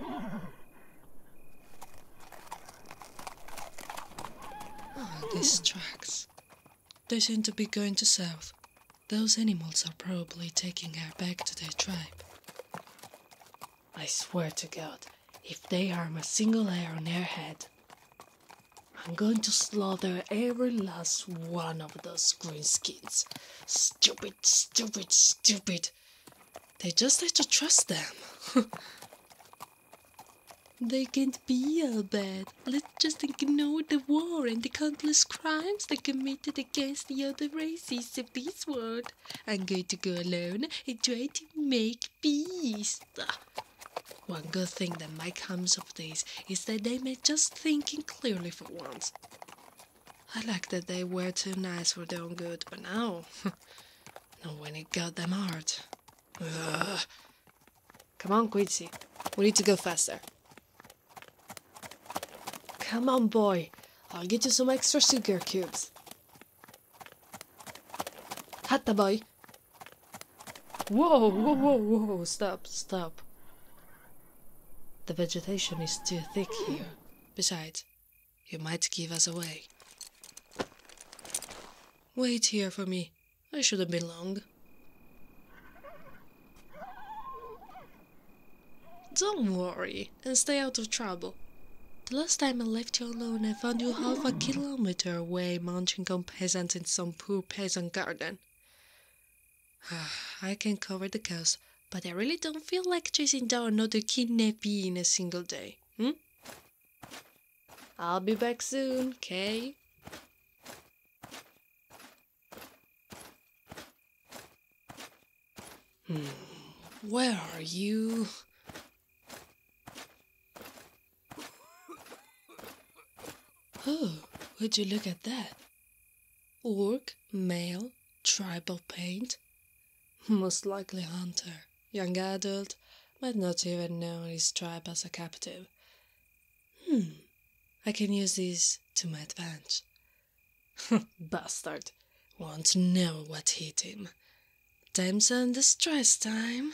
these tracks. They seem to be going to south. Those animals are probably taking her back to their tribe. I swear to God, if they harm a single hair on her head, I'm going to slaughter every last one of those green greenskins. Stupid, stupid, stupid they just have to trust them. they can't be all bad. Let's just ignore the war and the countless crimes they committed against the other races of this world. I'm going to go alone and try to make peace. One good thing that might come of this is that they may just thinking clearly for once. I like that they were too nice for their own good, but now, not when it got them hurt. Come on, Quincy. We need to go faster. Come on, boy. I'll get you some extra sugar cubes. Hata boy. Whoa, whoa, whoa, whoa, stop, stop. The vegetation is too thick here. Besides, you might give us away. Wait here for me. I shouldn't be long. Don't worry and stay out of trouble. The last time I left you alone, I found you half a kilometer away munching on peasants in some poor peasant garden. I can cover the cows, but I really don't feel like chasing down another kidnappee in a single day. Hmm? I'll be back soon, okay? Hmm, where are you? Oh, would you look at that? Work, male, tribal paint? Most likely hunter, young adult, might not even know his tribe as a captive. Hmm, I can use this to my advantage. Bastard, won't know what hit him. Time's under stress time.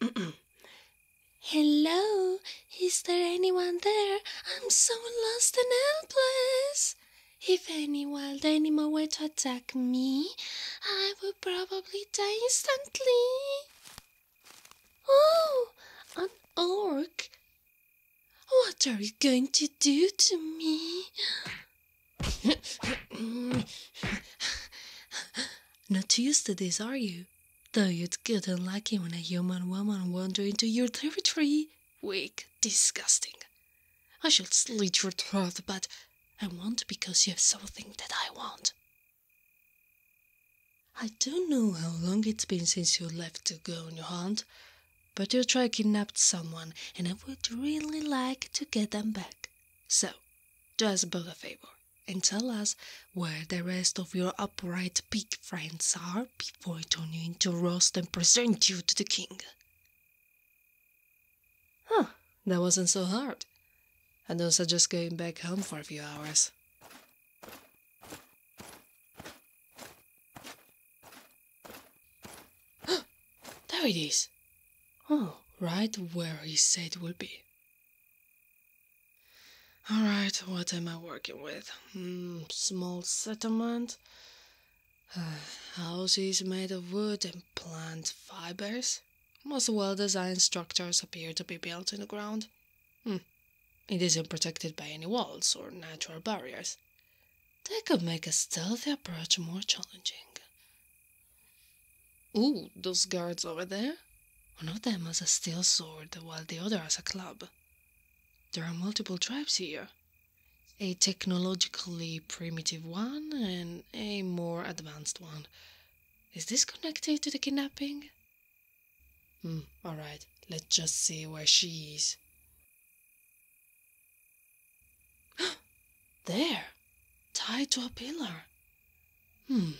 Hello, is there anyone there? I'm so lost and helpless. If any wild animal were to attack me, I would probably die instantly. Oh, an orc. What are you going to do to me? Not used to this, are you? Though you'd get unlucky when a human woman wandered into your territory weak, disgusting. I should slit your throat, but I won't because you have something that I want. I don't know how long it's been since you left to go on your hunt, but your tribe kidnapped someone and I would really like to get them back. So, do us a favor and tell us where the rest of your upright pig friends are for it on you into roast and present you to the king. Huh, that wasn't so hard. I don't suggest going back home for a few hours. there it is! Oh, right where he said it would be. Alright, what am I working with? Mm, small settlement. houses made of wood and plant fibers. Most well designed structures appear to be built in the ground. Hmm. It isn't protected by any walls or natural barriers. That could make a stealthy approach more challenging. Ooh, those guards over there? One of them has a steel sword while the other has a club. There are multiple tribes here a technologically primitive one and a more advanced one. Is this connected to the kidnapping? Hmm, alright, let's just see where she is. there! Tied to a pillar. Hmm,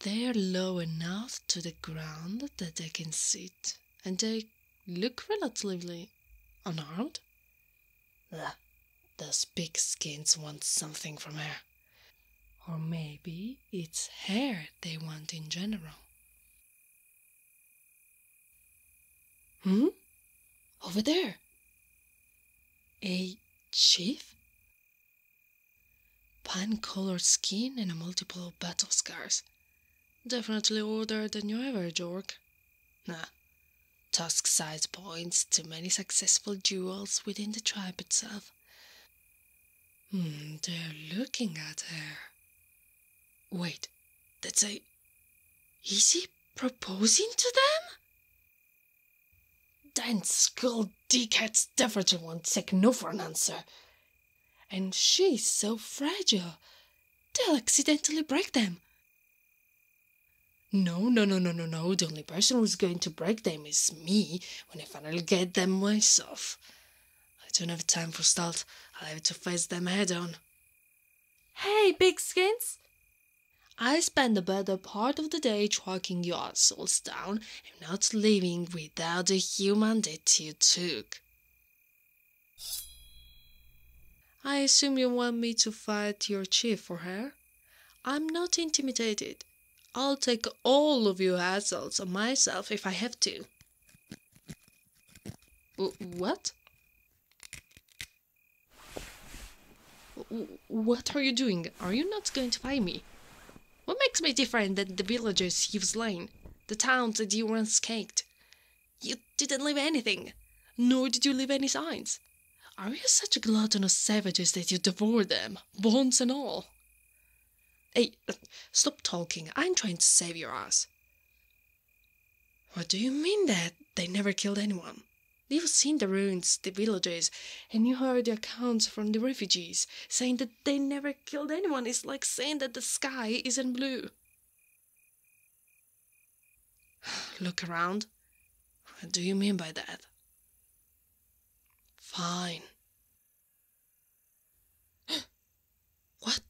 they're low enough to the ground that they can sit, and they look relatively unarmed. Ugh, those skins want something from her. Or maybe it's hair they want in general. Hmm? Over there! A chief? Pine colored skin and a multiple battle scars. Definitely older than you ever, Jork. Nah. Tusk size points to many successful duels within the tribe itself. Hmm, they're looking at her. Wait, that's a. Is he proposing to them? Then skull dickheads definitely won't take no for an answer. And she's so fragile. They'll accidentally break them. No, no, no, no, no, no. The only person who's going to break them is me when I finally get them myself. I don't have time for stealth. I'll have to face them head on. Hey, big skins! I spent the better part of the day tracking your souls down i am not leaving without the human that you took. I assume you want me to fight your chief for her? I'm not intimidated. I'll take all of you assholes on myself if I have to. What? What are you doing? Are you not going to fight me? What makes me different than the villagers you've slain, the towns that you once escaped? You didn't leave anything, nor did you leave any signs. Are you such gluttonous savages that you devour them, bones and all? Hey, stop talking. I'm trying to save your ass. What do you mean that they never killed anyone? You've seen the ruins, the villages, and you heard the accounts from the refugees saying that they never killed anyone It's like saying that the sky isn't blue. Look around. What do you mean by that? Fine. what?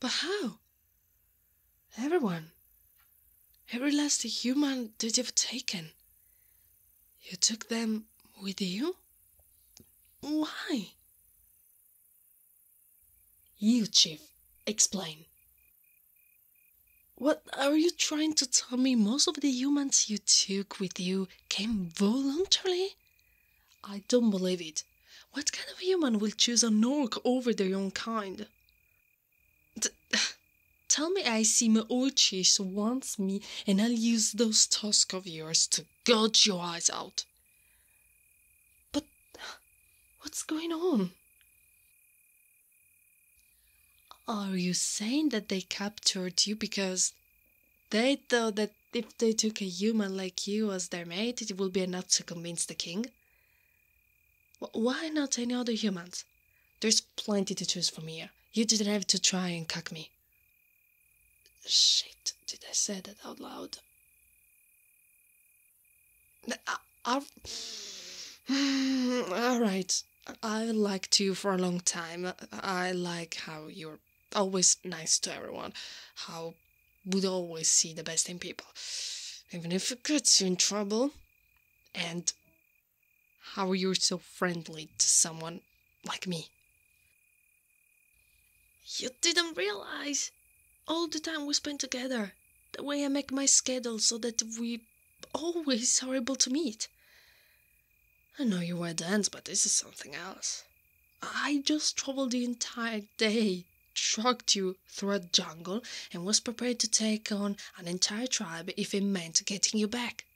But how? Everyone. Every last human that you've taken. You took them with you? Why? You, Chief, explain. What are you trying to tell me? Most of the humans you took with you came voluntarily? I don't believe it. What kind of human will choose an orc over their own kind? tell me I see my old chief wants me and I'll use those tusks of yours to gouge your eyes out. But what's going on? Are you saying that they captured you because they thought that if they took a human like you as their mate, it would be enough to convince the king? Why not any other humans? There's plenty to choose from here. You didn't have to try and cuck me. Shit, did I say that out loud? Uh, alright, I've liked you for a long time. I like how you're always nice to everyone, how would always see the best in people, even if it gets you in trouble. And how are you so friendly to someone like me? You didn't realize all the time we spend together, the way I make my schedule so that we always are able to meet. I know you were dance, but this is something else. I just traveled the entire day, tracked you through a jungle, and was prepared to take on an entire tribe if it meant getting you back.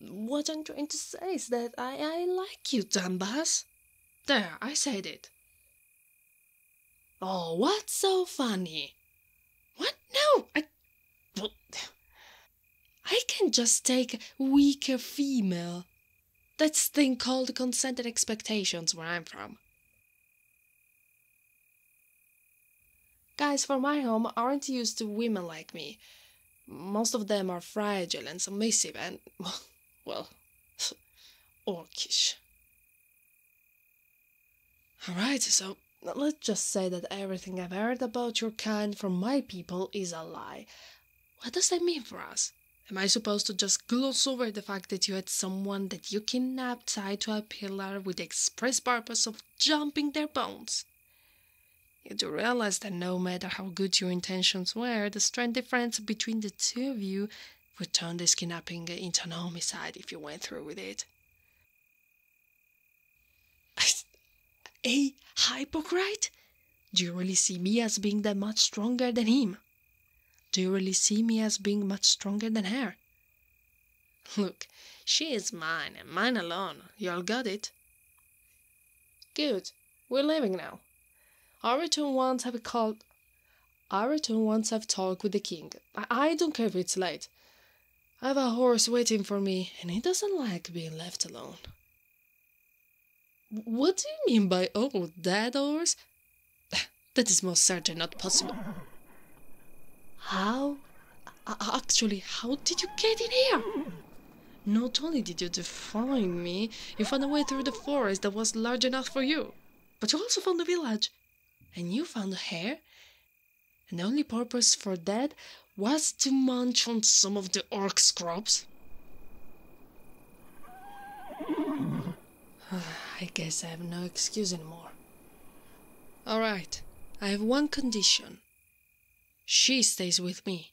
What I'm trying to say is that I, I like you, Dumbass. There, I said it. Oh, what's so funny? What? No, I. Well, I can just take weaker female. That's thing called consent and expectations where I'm from. Guys from my home aren't used to women like me. Most of them are fragile and submissive and, well, orcish. Alright, so let's just say that everything I've heard about your kind from my people is a lie. What does that mean for us? Am I supposed to just gloss over the fact that you had someone that you kidnapped tied to a pillar with the express purpose of jumping their bones. You do realize that no matter how good your intentions were, the strength difference between the two of you would turn this kidnapping into an homicide if you went through with it. A hypocrite? Do you really see me as being that much stronger than him? Do you really see me as being much stronger than her? Look, she is mine, and mine alone. Y'all got it? Good. We're leaving now. I wants to have a I return once I've talked with the king. I, don't care if it's late. I've a horse waiting for me, and he doesn't like being left alone. What do you mean by old oh, dead horse? That is most certain not possible. How Actually, how did you get in here? Not only did you find me, you found a way through the forest that was large enough for you, but you also found the village. And you found the hare. And the only purpose for that was to munch on some of the orc's crops. I guess I have no excuse anymore. All right, I have one condition. She stays with me.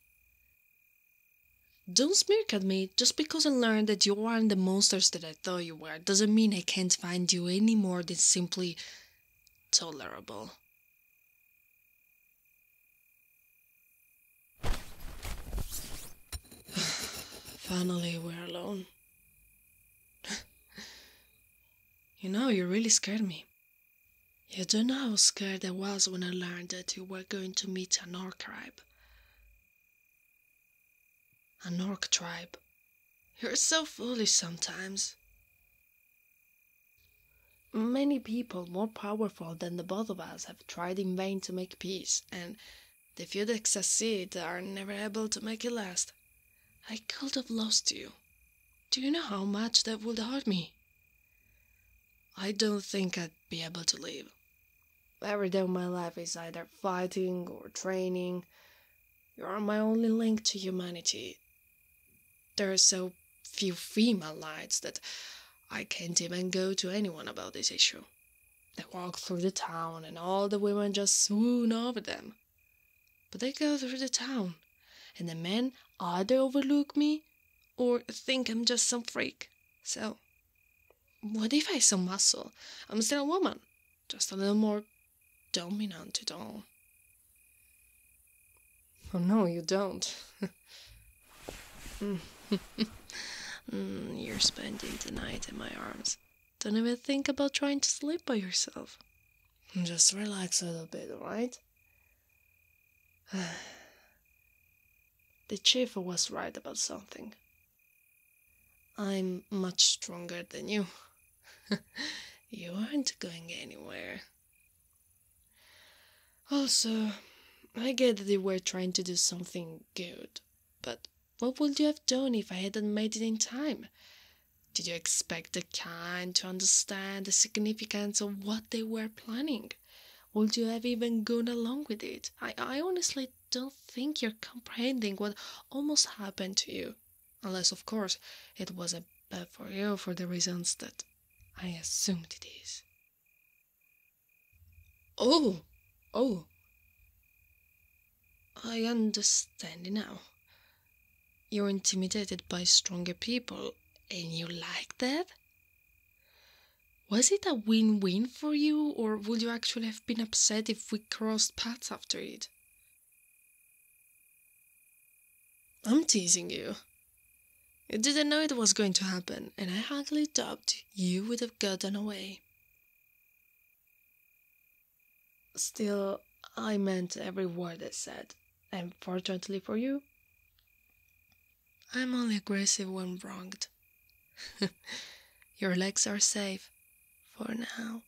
Don't smirk at me. Just because I learned that you aren't the monsters that I thought you were doesn't mean I can't find you any more than simply tolerable. Finally, we're alone. You know, you really scared me. You don't know how scared I was when I learned that you were going to meet an orc tribe. An orc tribe. You're so foolish sometimes. Many people more powerful than the both of us have tried in vain to make peace, and the few that succeed are never able to make it last. I could have lost you. Do you know how much that would hurt me? I don't think I'd be able to live. Every day of my life is either fighting or training. You are my only link to humanity. There are so few female lights that I can't even go to anyone about this issue. They walk through the town and all the women just swoon over them. But I go through the town, and the men either overlook me or think I'm just some freak. So, what if I some muscle? I'm still a woman, just a little more dominant at all. Oh no, you don't. Mm. Mm, you're spending the night in my arms. Don't even think about trying to sleep by yourself. Just relax a little bit, alright? the chief was right about something. I'm much stronger than you. you aren't going anywhere. Also, I get that they were trying to do something good, but what would you have done if I hadn't made it in time? Did you expect the kind to understand the significance of what they were planning? Would you have even gone along with it? I, I honestly don't think you're comprehending what almost happened to you. Unless, of course, it was a bad for you for the reasons that I assumed it is. Oh! Oh! I understand now. You're intimidated by stronger people, and you like that? Was it a win win for you, or would you actually have been upset if we crossed paths after it? I'm teasing you. You didn't know it was going to happen, and I hardly doubt you would have gotten away. Still, I meant every word I said, and fortunately for you, I'm only aggressive when wronged. Your legs are safe, for now.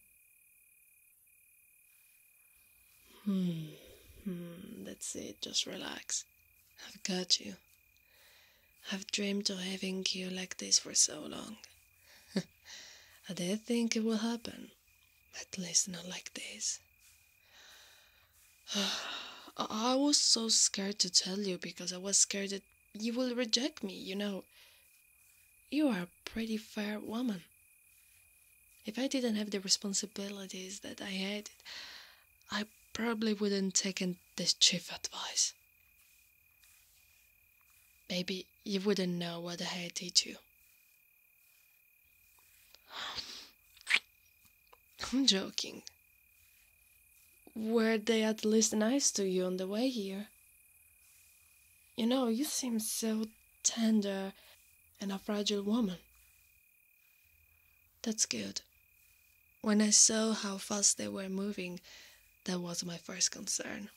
Hmm, hmm, that's it, just relax. I've got you. I've dreamed of having you like this for so long. I did think it will happen. At least not like this. I was so scared to tell you because I was scared that you will reject me, you know. You are a pretty fair woman. If I didn't have the responsibilities that I had, I probably wouldn't taken this chief advice. Maybe you wouldn't know what I had did to you. I'm joking. Were they at least nice to you on the way here? You know, you seem so tender and a fragile woman. That's good. When I saw how fast they were moving, that was my first concern.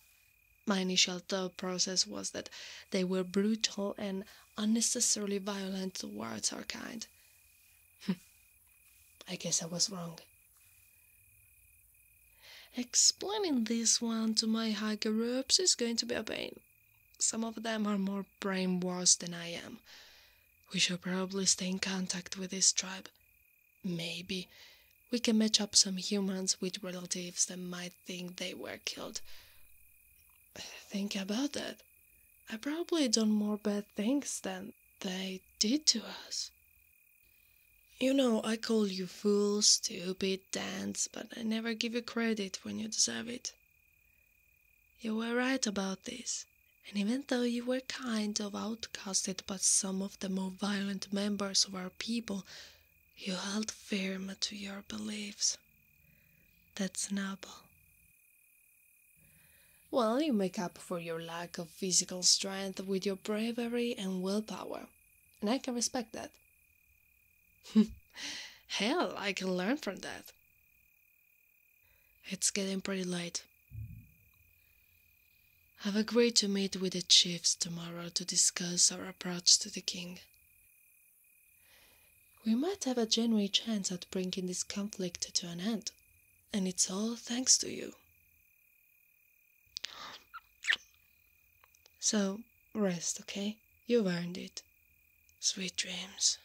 My initial thought process was that they were brutal and unnecessarily violent towards our kind. I guess I was wrong. Explaining this one to my hiker groups is going to be a pain. Some of them are more brainwashed than I am. We shall probably stay in contact with this tribe Maybe we can match up some humans with relatives that might think they were killed. Think about that. I probably done more bad things than they did to us. You know, I call you fool, stupid, dance, but I never give you credit when you deserve it. You were right about this, and even though you were kind of outcasted by some of the more violent members of our people, you held firm to your beliefs. That's noble. Well, you make up for your lack of physical strength with your bravery and willpower, and I can respect that. Hell, I can learn from that. It's getting pretty late. I've agreed to meet with the chiefs tomorrow to discuss our approach to the king. We might have a genuine chance at bringing this conflict to an end, and it's all thanks to you. So, rest, okay? You've earned it. Sweet dreams.